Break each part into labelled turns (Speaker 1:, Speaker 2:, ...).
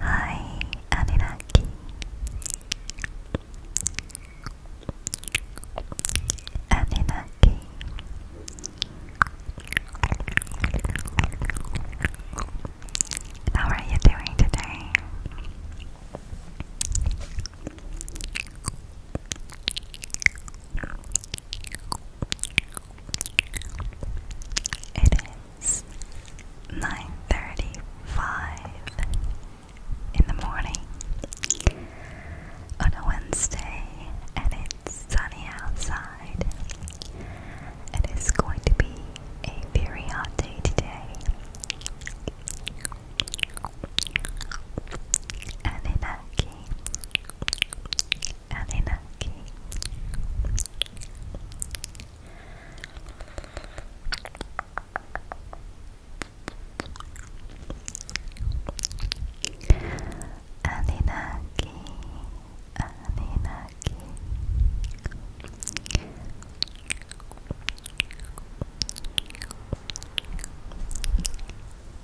Speaker 1: Hi, Anunnaki. Anunnaki. How are you doing today? It is nine thirty five in the morning on a Wednesday and it's sunny outside. It is going to be a very hot day today. Anunnaki Anunnaki Anunnaki Anunnaki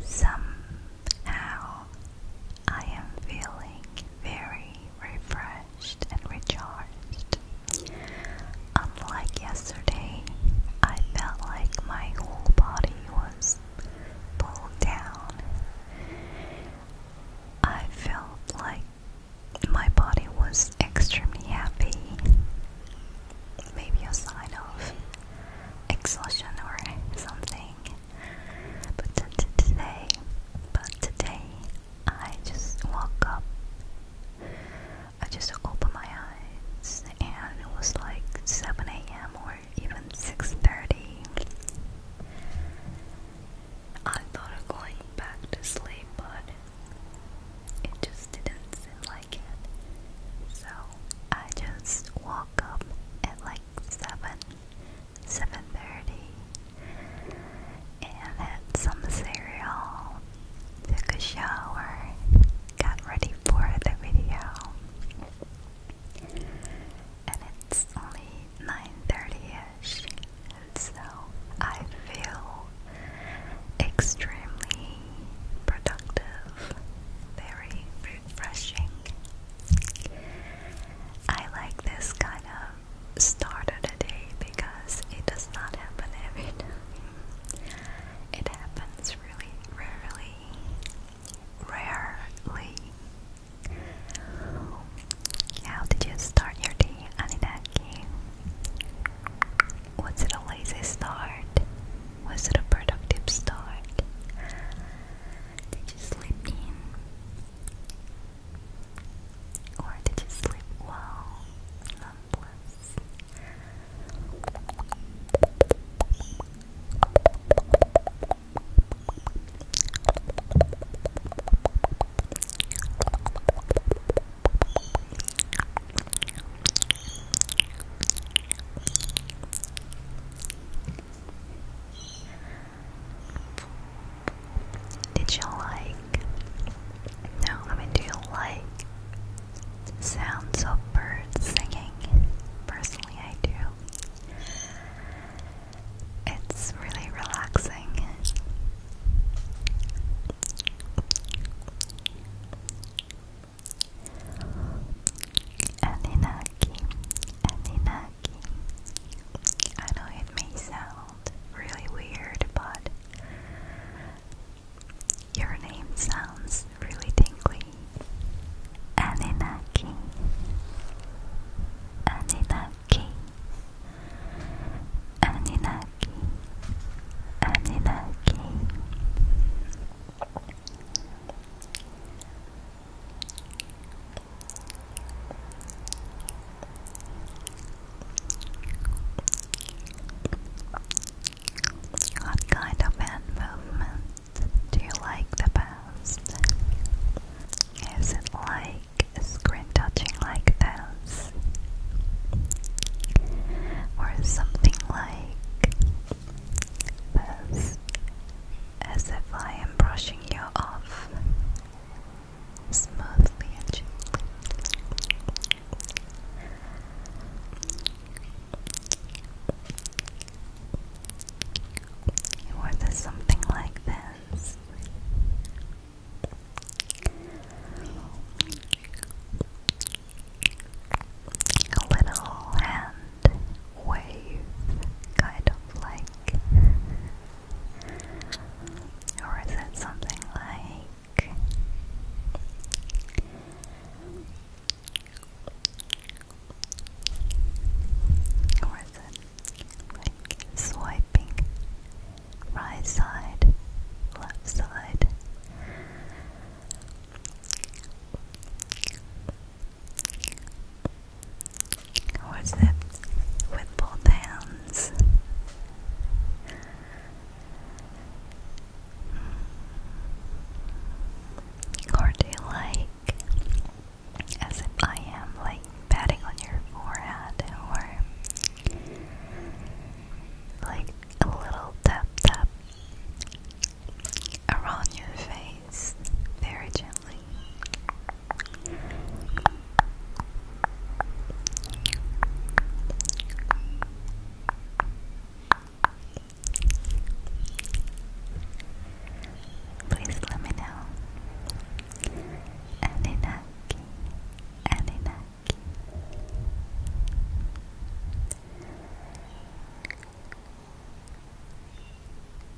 Speaker 1: Somehow, I am feeling very refreshed and recharged. Unlike yesterday, I felt like my whole body was pulled down. I felt like my body was extremely happy. Maybe a sign of exhaustion or something. But today, but today, I just woke up. I just opened my eyes, and it was like 7 a.m. or even 6:30. I thought of going back to sleep, but it just didn't seem like it. So I just woke up at like 7 7.30 and had some cereal, took a shower, got ready for the video. And it's only 9.30ish, so I feel extremely productive, very refreshing. I like this kind of start of the day because it does not happen every time. It happens really rarely. Rarely. How did you start your day, Aninaki? Was it a lazy start? Was it a productive start? Did you sleep in? Or did you sleep well? Nonetheless. Did you like? No, I mean, do you like sounds of birds singing? Personally, I do. It's really relaxing. Aninaki, Aninaki. I know it may sound really weird, but your name sounds really tingly. Aninaki, Aninaki, Aninaki, Aninaki. What kind of hand movement do you like the best? Is it like screen touching like this? Or something like this? as if I am brushing you off smoothly Or something like this. A little hand wave, kind of like, or is it something like? Or is it like swiping right side, left side? What's that? With both hands. Or do you like, as if I am, like patting on your forehead or like a little tap tap around your face very gently. Please let me know. Aninaki, Aninaki.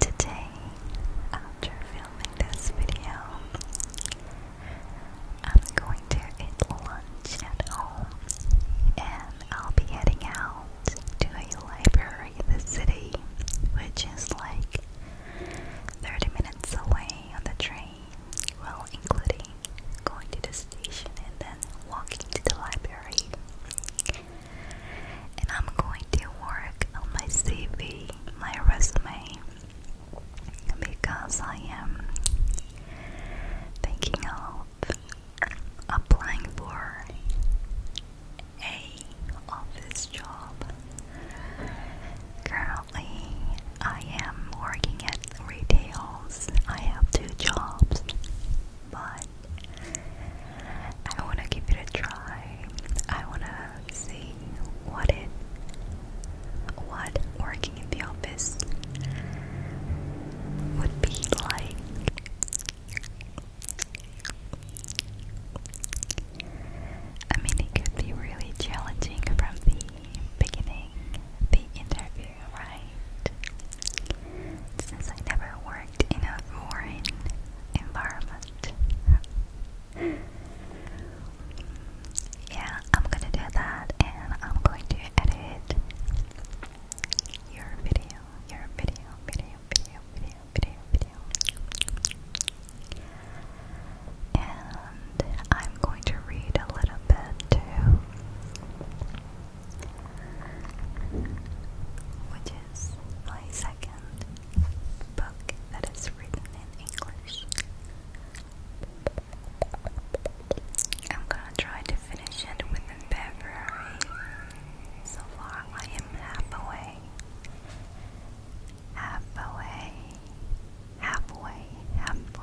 Speaker 1: Today, after filming this video, I'm going to eat lunch at home and I'll be heading out to a library in the city, which is like 30 minutes away on the train, well, including going to the station and then walking to the library and I'm going to work on my CV, my resume, because I am thinking of applying for a office job. Currently, I am working at retail. I have two jobs, but I want to give it a try. I want to see what it what working in the office would be like. I mean, it could be really challenging from the beginning, the interview, right? since I never worked in a foreign environment. yeah, I'm gonna do that and I'm going to edit your video, your video, video, video, video, video, video. And I'm going to read a little bit too which is my second book that is written in English. I'm gonna try to finish it within February. So far, I am halfway. Halfway. Halfway. Halfway.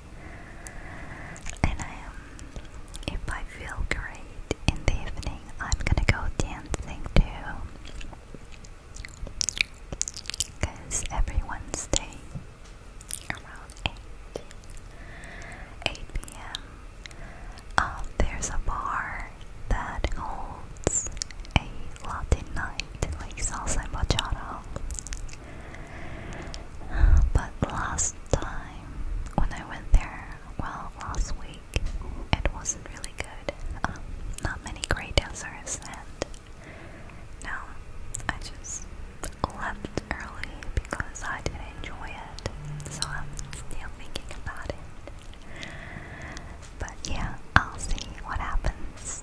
Speaker 1: And um, if I feel great in the evening, I'm gonna go dancing too. Because every Wednesday around 8, 8 p.m., um, there's a bar that holds a Latin night, like salsa bachata. But last time when I went there, well, last week, it wasn't really good. Um, not many great dancers, and now I just left early because I didn't enjoy it. So I'm still thinking about it. But yeah, I'll see what happens.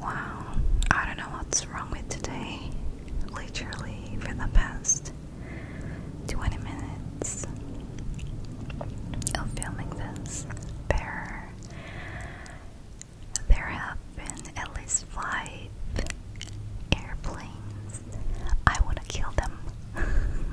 Speaker 1: Wow, I don't know what's wrong with today. Literally, for the best. 20 minutes of filming this. There, there have been at least five airplanes. I want to kill them.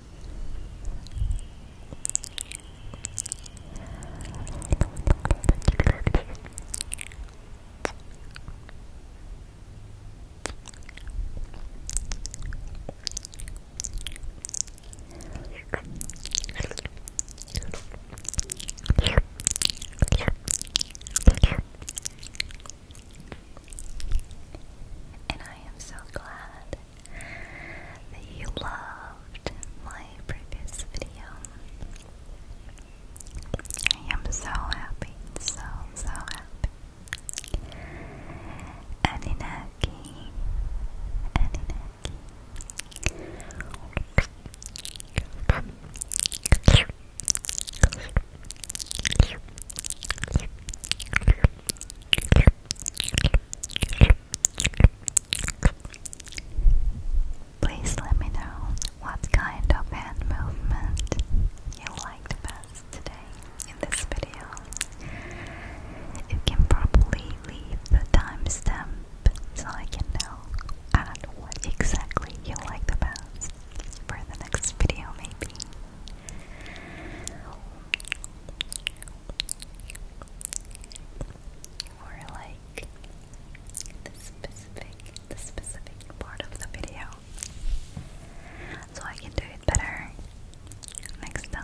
Speaker 1: And I am so glad that you loved my previous video. I am so happy, so, so happy. Aninaki, Aninaki. Please let me know what kind of hand movement you liked best today in this video. You can probably leave the timestamp so I can know what exactly you like the best for the next video maybe or like the specific the specific part of the video so I can do it better next time.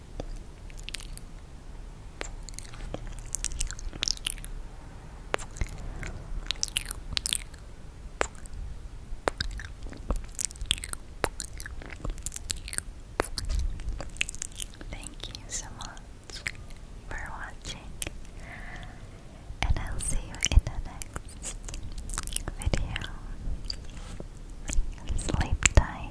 Speaker 1: Thank you so much for watching, and I'll see you in the next video. Sleep tight.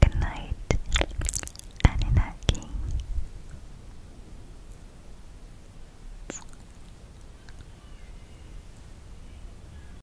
Speaker 1: Good night, Aninaki.